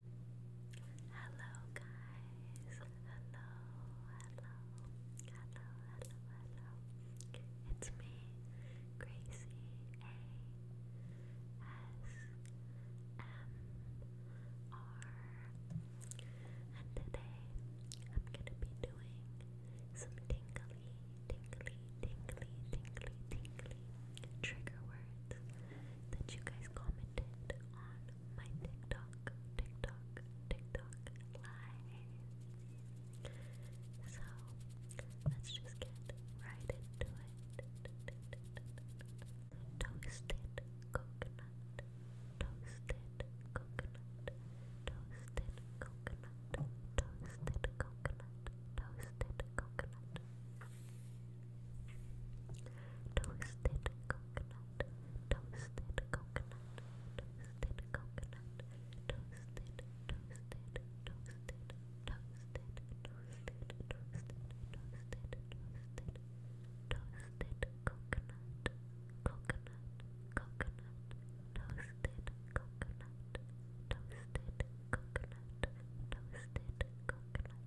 Hello guys, hello, hello, hello, hello, hello. It's me, Gracie A S M R, and today I'm gonna be doing some tingly, tingly, tingly, tingly, tingly trigger words that you guys commented on my TikTok, TikTok, TikTok live. So let's just get right into it. Toasted coconut, toasted coconut, toasted coconut, toasted coconut, toasted coconut. Toasted coconut, toasted coconut, toasted coconut, toasted, toasted, toasted, toasted, toasted, toasted, toasted, toasted, coconut, coconut, coconut, toasted coconut, toasted coconut, toasted coconut.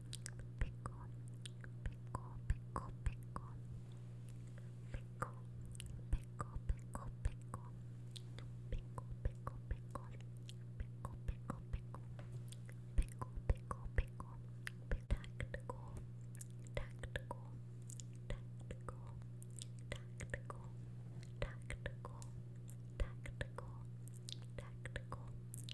pickle, pickle, pickle, pickle, pickle, pickle, pickle, pickle, pickle, pickle, pickle, pickle, pickle, pickle, pickle, pickle, pickle, tactical, tactical, tactical, tactical, tactical, tactical, tactical.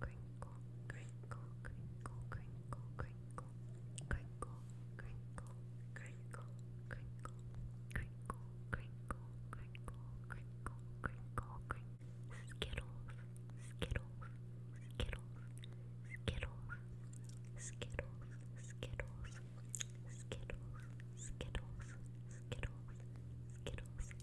crinkle, crinkle, crinkle, crinkle, crinkle, crinkle, crinkle, crinkle, crinkle, crinkle, crinkle, crinkle, crinkle, crinkle, crinkle, skittles, skittles, skittles, skittles, skittles, skittles, skittles, skittles, skittles, skittles.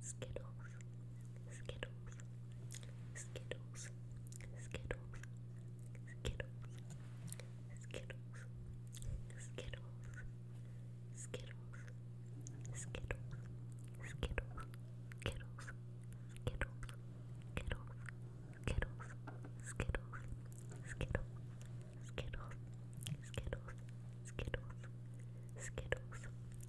Skittles, Skittles, Skittles, Skittles, Skittles, Skittles, Skittles, Skittles, Skittles, Skittles, Skittles, Skittles, Skittles, Skittles, Skittles, Skittle, Skittles, Skittles, Skittles, Skittles, Skittles,